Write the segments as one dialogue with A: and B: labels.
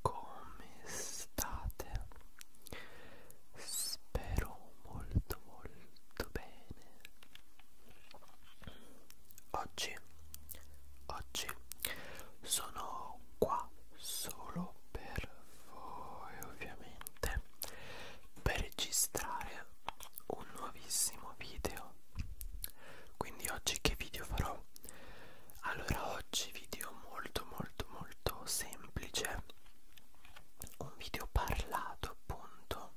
A: come state? Spero molto molto bene. Oggi, oggi sono qua solo per voi ovviamente per registrare un nuovissimo video. Quindi oggi che video farò? Allora oggi video molto molto molto semplice un video parlato appunto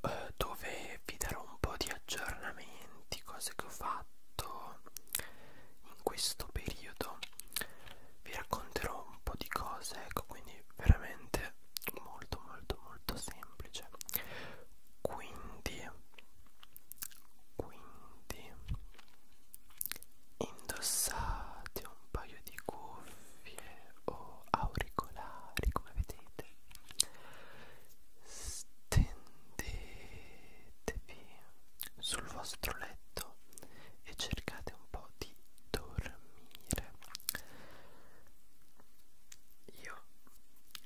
A: eh, dove vi darò un po' di aggiornamenti cose che ho fatto in questo periodo vi racconterò un po' di cose ecco quindi veramente molto molto molto semplice quindi quindi indossate un paio di cuffie o auricolari come vedete stendetevi sul vostro letto e cercate un po' di dormire io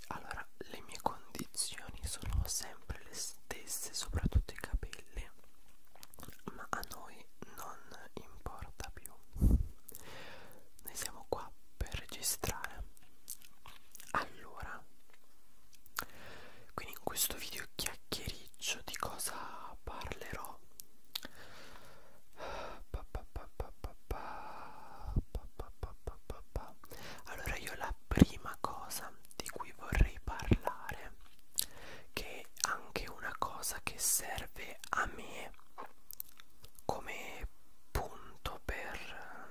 A: allora le mie condizioni sono sempre le stesse soprattutto i capelli ma a noi non importa più noi siamo qua per registrare allora quindi in questo video chiacchiericcio di cosa parlerò allora io la prima cosa di cui vorrei parlare dire che anche una cosa che serve a me come punto per,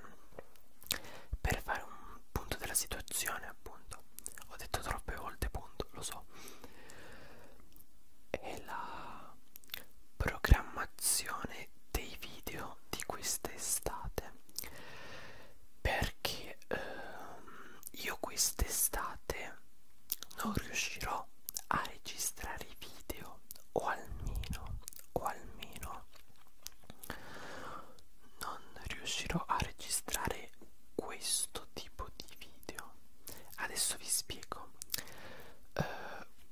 A: per fare un punto della situazione appunto ho detto troppe volte punto lo so è la programmazione dei video di quest'estate perché ehm, io quest'estate non riuscirò a registrare i video o almeno o almeno non riuscirò a registrare questo tipo di video adesso vi spiego uh,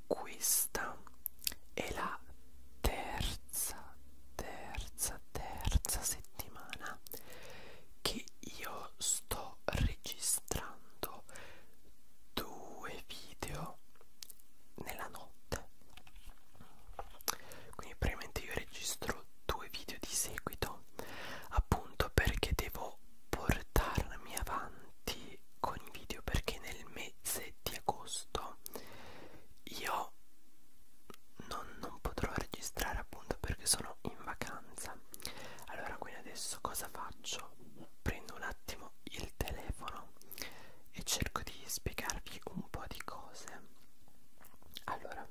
A: questa è la terza terza terza settimana che io sto registrando due video nella notte quindi praticamente io registro due video di seguito appunto perché devo portarmi avanti con i video perché nel mese di agosto io non, non potrò registrare appunto perché sono in vacanza allora quindi adesso cosa faccio prendo un attimo il telefono e cerco di spiegarvi un po' di cose allora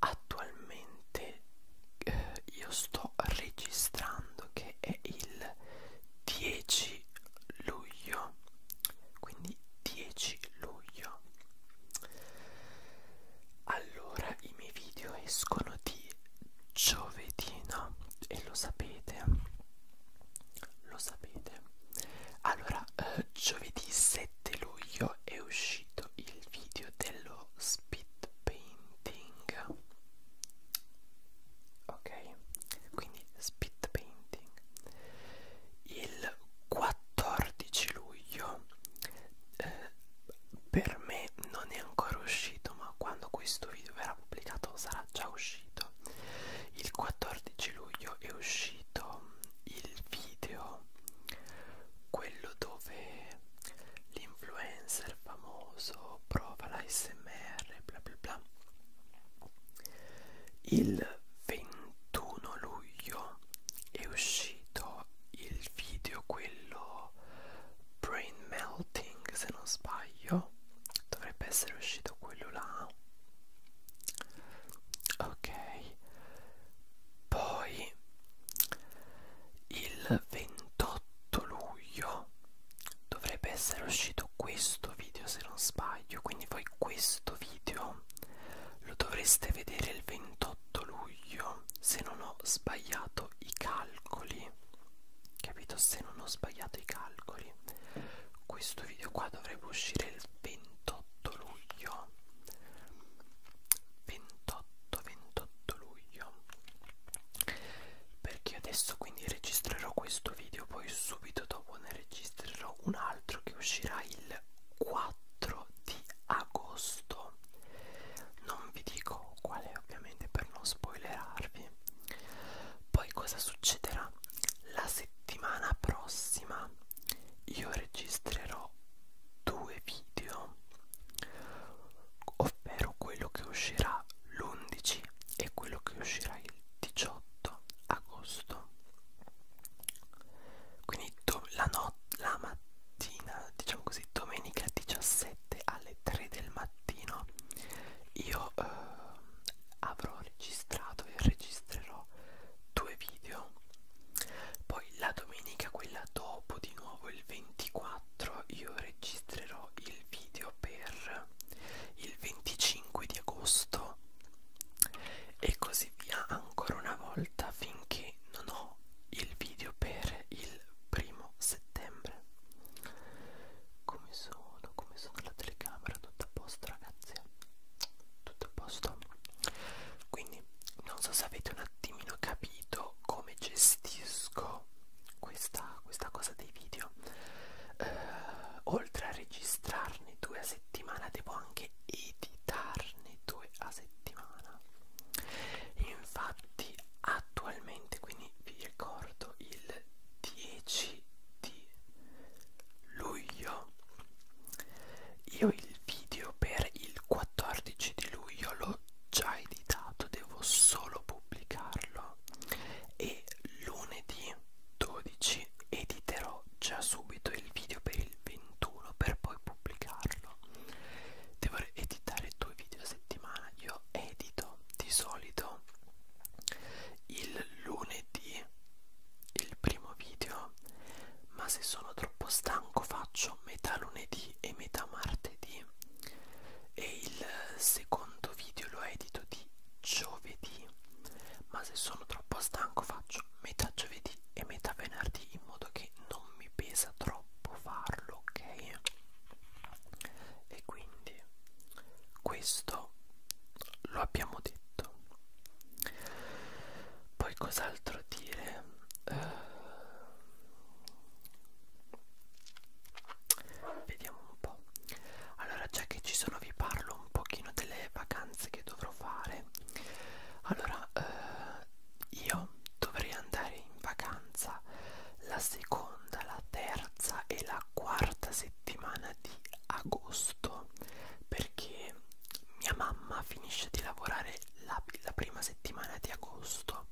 A: attualmente eh, io sto registrando che è il 10 luglio quindi 10 luglio allora, i miei video escono di giovedì, no? E lo sapete? Lo sapete? Allora, eh, giovedì 7 luglio è uscito il video dello spit painting. Ok, quindi spit painting. Il 4 14 luglio eh, per me non è ancora uscito ma quando questo video verrà pubblicato sarà già uscito il 14 luglio è uscito il video quello dove l'influencer famoso prova la smr bla bla bla il 21 luglio è uscito il video quello brain melting se non sbaglio dovrebbe essere uscito quello là ok poi il 28 luglio dovrebbe essere uscito questo video se non sbaglio quindi voi questo video video lo dovreste vedere il 28 luglio se non ho sbagliato i calcoli capito se non ho sbagliato i calcoli questo video qua dovrebbe uscire il 28 luglio 28 28 luglio perché adesso quindi registrerò questo video poi subito dopo ne registrerò un altro che uscirà il 4 di agosto non vi dico quale ovviamente per non spoilerarvi poi cosa succederà la settimana prossima io registrerò due video ovvero quello che uscirà l'11 e quello che uscirà il 18 agosto quindi la, not la mattina diciamo così domenica 17 alle 3 del mattino io eh, avrò registrato e registrerò due video poi la domenica quella dopo di nuovo il 24 io registrerò il video per il 25 di agosto e così via ancora una volta finché non ho il video per il primo settembre come sono come sono la telecamera tutto a posto ragazzi tutto a posto quindi non so se avete un attimino capito come gestisco questa, questa cosa dei video eh, oltre a registrarne due a settimana devo anche editarne due a settimana infatti attualmente quindi vi ricordo il 10 di luglio io il video per il 14 di luglio l'ho già editato devo solo pubblicarlo e lunedì 12 e editerò già subito il video per il 21 per poi pubblicarlo devo editare due video a settimana io edito di solito il lunedì il primo video ma se sono troppo stanco faccio metà lunedì e metà martedì e il secondo video lo edito di giovedì ma se sono troppo stanco faccio metà giovedì e metà venerdì in modo che non mi pesa troppo farlo, ok? E quindi questo lo abbiamo detto. Poi cos'altro dire? Uh, vediamo un po'. Allora, già che ci sono vi parlo un pochino delle vacanze vacanze che dovrò fare allora eh, io dovrei andare in vacanza la seconda la terza e la quarta settimana di agosto perché mia mamma finisce di lavorare la, la prima settimana di agosto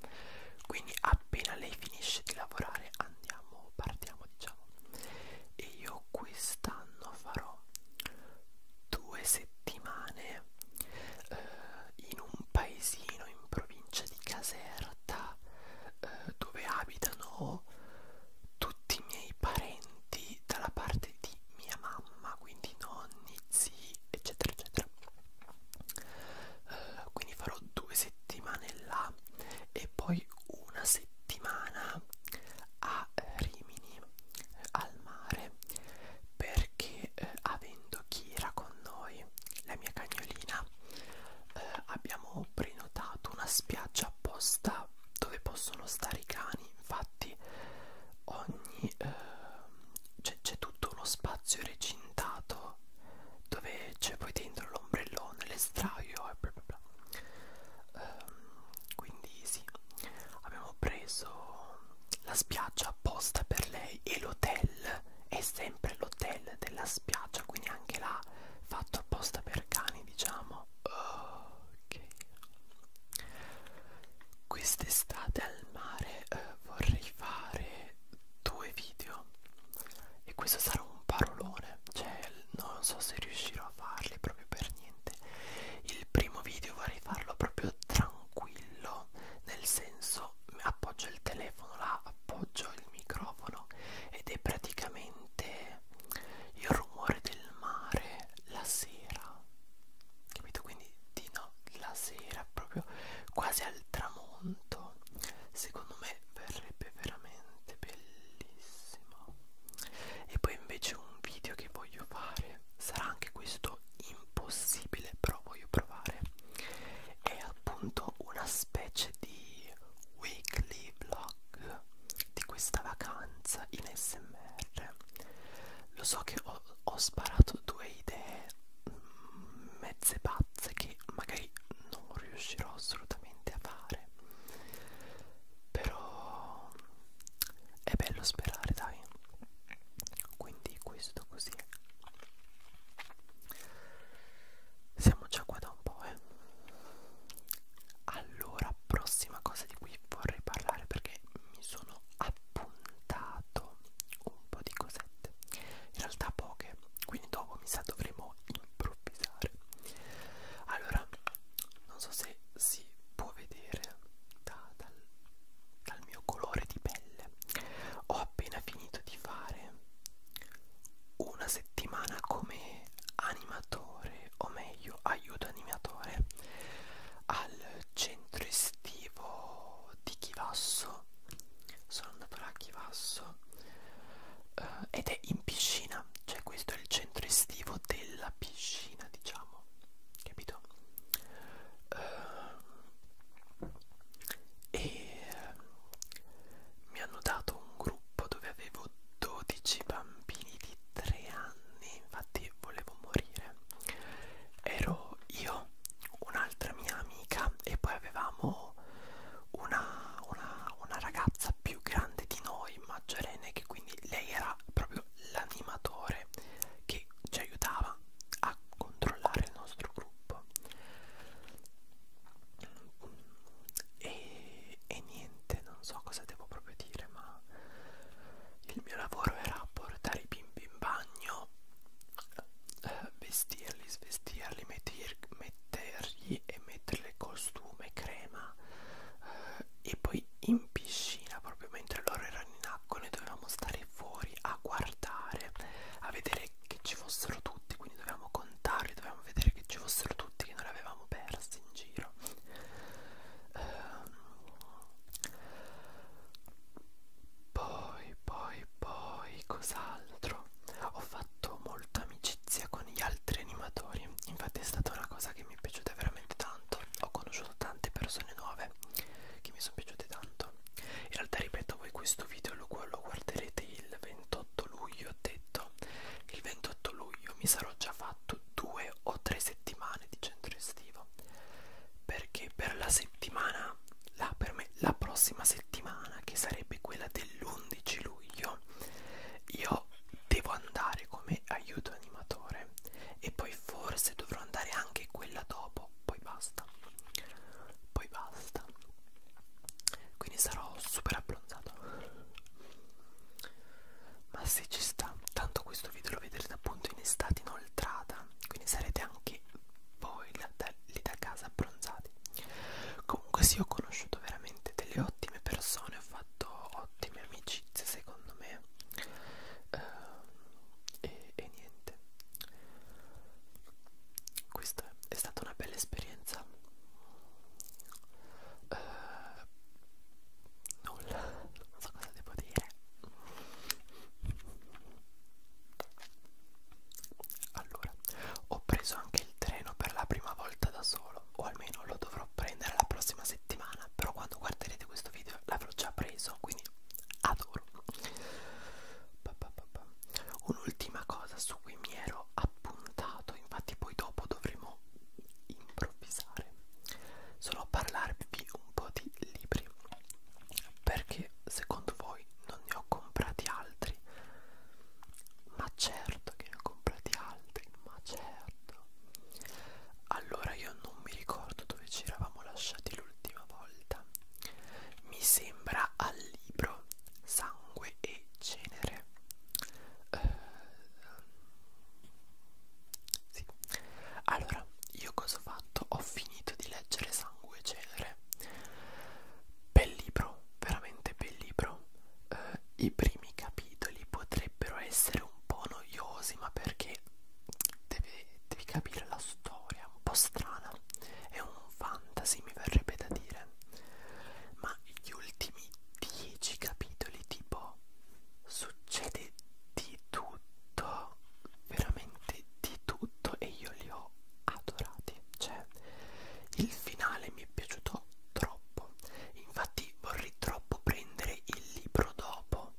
A: quindi appena lei finisce di lavorare andiamo partiamo diciamo e io quest'anno farò due settimane eh, in un paesino in provincia di Caserta eh, dove abitano tutti i miei parenti dalla parte di mia mamma, quindi nonni, zii, eccetera, eccetera. Eh, quindi farò due settimane là e poi una settimana a Rimini al mare perché eh, avendo Kira con noi, la mia cagnolina, eh, abbiamo prenotato una spiaggia apposta dove possono stare i cani. Infatti ogni eh, c'è tutto uno spazio recintato dove c'è poi dentro l'ombrellone, l'estraio e bla bla bla ehm, quindi sì abbiamo preso la spiaggia apposta per lei e l'hotel è sempre l'hotel della spiaggia quindi anche là fatto apposta per cani diciamo ok quest'estate al mare eh, vorrei fare due video e questo sarà un parolone cioè non so se riuscirò a farli proprio per niente il primo video vorrei farlo proprio tranquillo nel senso appoggio il telefono là appoggio il microfono ed è praticamente il rumore del mare la sera capito quindi di no la sera proprio quasi al tramonto secondo me verrebbe veramente bellissimo e poi invece un video che voglio fare sarà anche questo impossibile però voglio provare è appunto una specie di weekly vlog di questa vacanza in smr lo so che ho, ho sparato due idee mm, mezze pazze che magari non riuscirò assolutamente a fare però è bello sperare dai quindi questo così siamo già qua da un po' eh allora prossima cosa di cui vorrei parlare perché mi sono appuntato un po' di cosette in realtà poche quindi dopo mi sa dovremo improvvisare allora non so se si può vedere da, dal, dal mio colore di pelle ho appena finito di fare una settimana come animatore o meglio aiuto animatore al centro estivo di Chivasso sono andato là a Chivasso eh, ed è in piscina cioè questo è il centro estivo all'arrivo della piscina, diciamo, capito? Uh, e ehm, mi hanno dato un gruppo dove avevo 12 bambini di 3 anni, infatti volevo morire. Ero io, un'altra mia amica e poi avevamo una, una, una ragazza più grande di noi, maggiorenne, che quindi lei era proprio proprio l'animatore che ci aiutava a controllare il nostro gruppo e, e niente non so cosa devo proprio dire ma il mio lavoro era portare i bimbi in bagno eh, vestirli svestirli metter, mettergli e metterle costume crema eh, e poi in in piscina proprio mentre loro erano in acqua noi dovevamo stare fuori a guardare a vedere che ci fossero tutti quindi dovevamo contarli dovevamo vedere che ci fossero tutti che non li avevamo persi in giro uh, poi poi poi cos'altro ho fatto molta amicizia con gli altri animatori infatti è stata una cosa che mi mi è piaciuta veramente tanto ho conosciuto tante persone nuove che mi sono piaciute tanto in realtà ripeto voi questo video lo, lo guarderete il 28 luglio ho detto il 28 luglio mi sarò già fatto due o tre settimane di centro estivo perché per la settimana la, per me, la prossima settimana che sarebbe quella dell'11 luglio io devo andare come aiuto animatore e poi forse dovrò andare anche quella dopo poi basta poi basta quindi sarò super abbronzato ma se ci sta tanto questo video lo vedrete appunto in estate inoltrata quindi sarete anche voi là, da, lì da casa abbronzati comunque sì ho conosciuto veramente delle ottime persone ho fatto ottime amicizie secondo me ehm, e, e niente questa è stata una bella esperienza uh, nulla non so cosa devo dire allora ho preso anche il treno per la prima volta da solo o almeno lo dovrò prendere la prossima settimana però quando guarderete questo video l'avrò già preso quindi adoro un'ultima cosa su cui mi ero appuntato infatti poi dopo dovremo improvvisare solo parlarvi un po' di libri perché secondo voi non ne ho comprati altri ma certo che ne ho comprati altri ma certo allora io non mi ricordo dove ci eravamo lasciati l'ultima volta mi sembra al libro sangue e cenere eh, sì. allora io cosa ho fatto ho finito di leggere sangue e cenere bel libro veramente bel libro eh, i primi capitoli potrei potrebbero essere un po' noiosi ma perché devi, devi capire la storia un po' strana è un fantasy mi verrebbe da dire ma gli ultimi dieci capitoli tipo succede di tutto veramente di tutto e io li ho adorati cioè il finale mi è piaciuto troppo infatti infatti vorrei troppo prendere il libro dopo,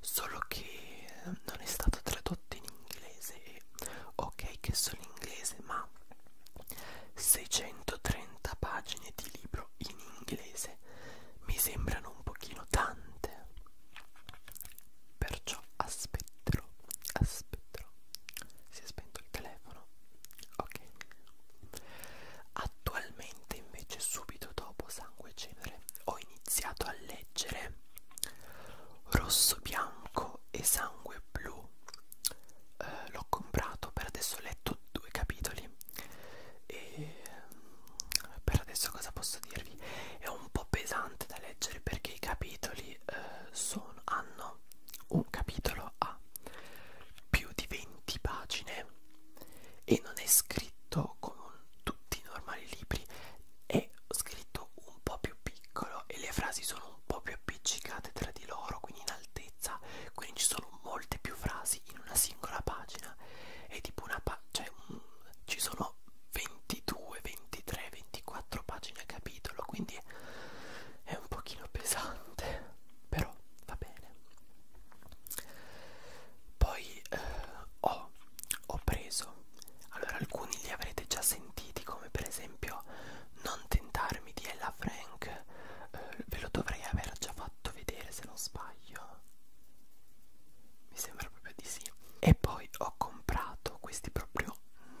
A: solo che non è stato tradotto in inglese e ok che sono in inglese, ma 630 pagine di libro in inglese mi sembrano un pochino tante. Perciò aspetterò, aspetterò. Si è spento il telefono. Ok. Attualmente invece subito dopo Sangue e Cenere ho iniziato a leggere Rosso Bianco e Sangue Blu. Eh, L'ho comprato, per adesso ho letto due capitoli e mm, per adesso cosa posso dirvi? È un po' pesante da leggere perché i capitoli eh, sono, hanno un capitolo a più di 20 pagine e non è scritto come un, tutti i normali libri, è scritto un po' più piccolo e le frasi sono un po' più appiccicate tra di loro, quindi in altezza, quindi ci sono molte più frasi in una singola pagina. È tipo una pa cioè, un, ci sono 22, 23, 24 pagine a capitolo, quindi è un pochino pesante, però va bene. Poi eh, ho, ho preso, allora alcuni li avrete già sentiti come per esempio Non tentarmi di Ella Frank, eh, ve lo dovrei aver già fatto vedere se non sbaglio, mi sembra proprio di sì. E poi ho comprato questi proprio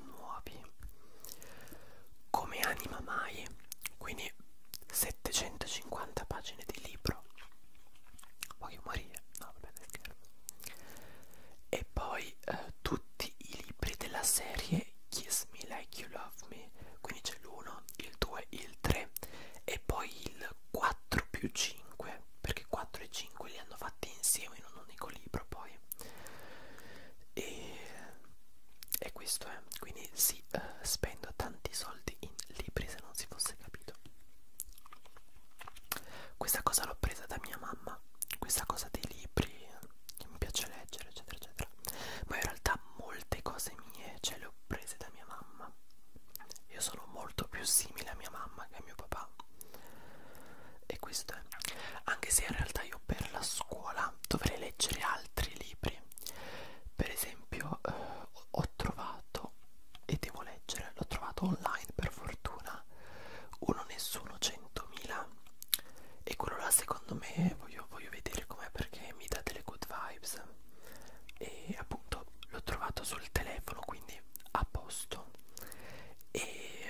A: nuovi, come Anima Mai, quindi se 750 pagine di libro voglio morire no vabbè scherzo e poi eh, tutti i libri della serie Kiss Me Like You Love Me quindi c'è l'1 il 2 il 3 e poi il 4 più 5 perché 4 e 5 li hanno fatti insieme in un unico libro poi e e questo è quindi si uh, spendo tanti soldi in libri se non si fosse capito questa cosa l'ho presa da mia mamma questa cosa dei libri che mi piace leggere eccetera eccetera ma in realtà molte cose mie ce le ho prese da mia mamma io sono molto più simile a mia mamma che a mio papà e questo è anche se in realtà io per la scuola dovrei leggere altri libri per esempio eh, ho trovato e devo leggere l'ho trovato online per fortuna uno nessuno 100.000 e quello là secondo me voglio, voglio vedere com'è perché mi dà delle good vibes e appunto l'ho trovato sul telefono quindi a posto e eh,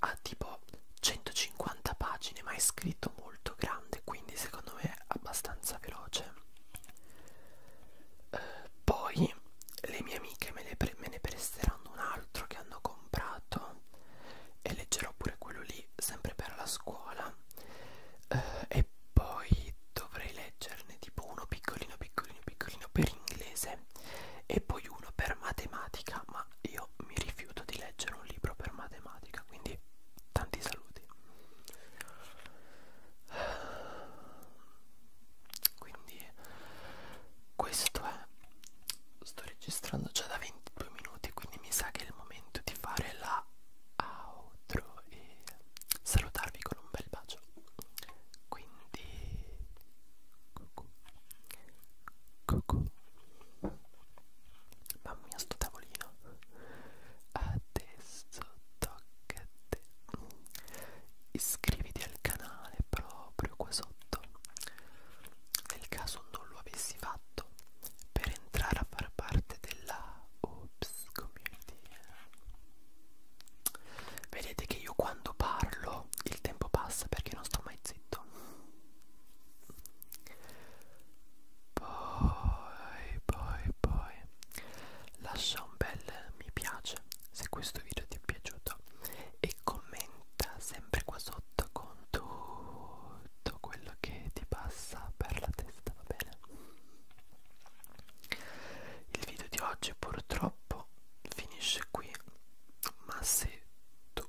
A: ha tipo 150 pagine ma è scritto molto molto grande quindi secondo me è abbastanza veloce eh, poi le mie amiche me, le me ne presteranno un altro che hanno comprato e leggerò pure quello lì sempre per la scuola eh, e poi dovrei leggerne tipo uno piccolino piccolino piccolino per inglese e poi uno per matematica ma io mi rifiuto di leggere un libro per matematica musica quindi tanti saluti quindi questo è sto registrando già da 22 minuti quindi mi sa che è il momento di fare la outro e salutarvi con un bel bacio quindi cucù cucù Mamma mia sto tavolino Adesso tocca a te Iscriviti al canale proprio qua sotto Nel caso non lo avessi fatto Per entrare a far parte della Oops Community Vedete che io quando parlo il tempo passa perché non sto mai zitto poi, poi, poi lascia un bel mi piace se questo video ti è piaciuto e commenta sempre qua sotto con tutto quello che ti passa per la testa, va bene? Il video di oggi purtroppo finisce qui, ma se tu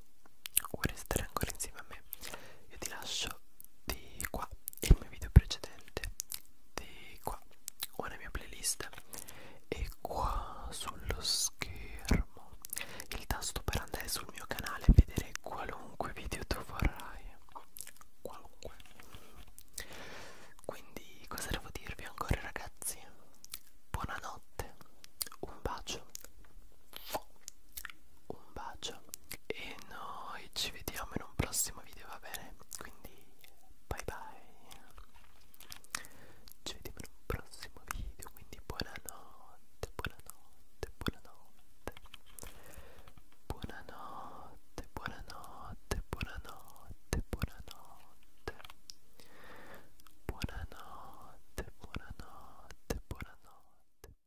A: vuoi restare ancora insieme a me, io ti lascio di qua e il mio video precedente di qua o la mia playlist e qua sullo schermo il tasto per andare sul mio canale e vedere qualunque video tu vorrai qualunque quindi cosa devo dirvi ancora ragazzi buonanotte un bacio un bacio e noi ci vediamo in un prossimo video va bene quindi bye bye ci vediamo in un prossimo video quindi buonanotte buonanotte buonanotte buonanotte buonanotte buonanotte buonanotte buonanotte buonanotte buonanotte